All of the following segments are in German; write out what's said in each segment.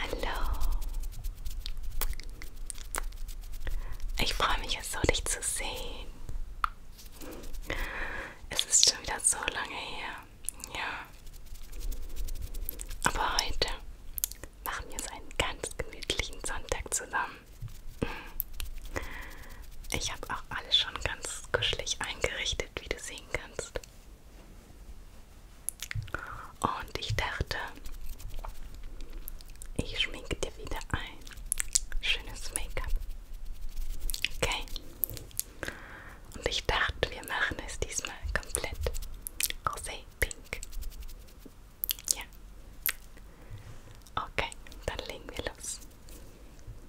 Hallo. Ich freue mich jetzt so, dich zu sehen. Es ist schon wieder so lange her. Ja. Aber heute machen wir so einen ganz gemütlichen Sonntag zusammen. Ich habe auch alles schon ganz kuschelig eingerichtet, wie du sehen kannst. Und ich dachte, ich schminke dir wieder ein schönes Make-up. Okay? Und ich dachte, wir machen es diesmal komplett rosé pink. Ja. Okay, dann legen wir los.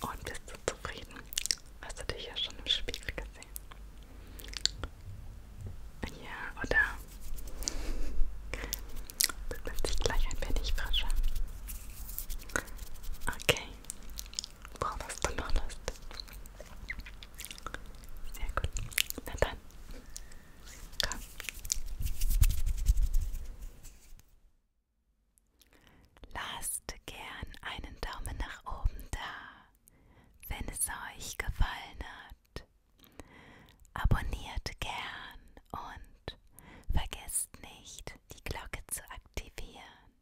Und bist du zufrieden? Hast du dich ja schon im Spiegel gesehen? Ja, oder? Fühlt man sich gleich ein wenig frischer? Okay. Worauf hast du noch Lust? Sehr gut. Na dann. Komm. Lasst gern einen Daumen nach oben da, wenn es euch gefallen hat. Abonniert gern und vergesst nicht, die Glocke zu aktivieren.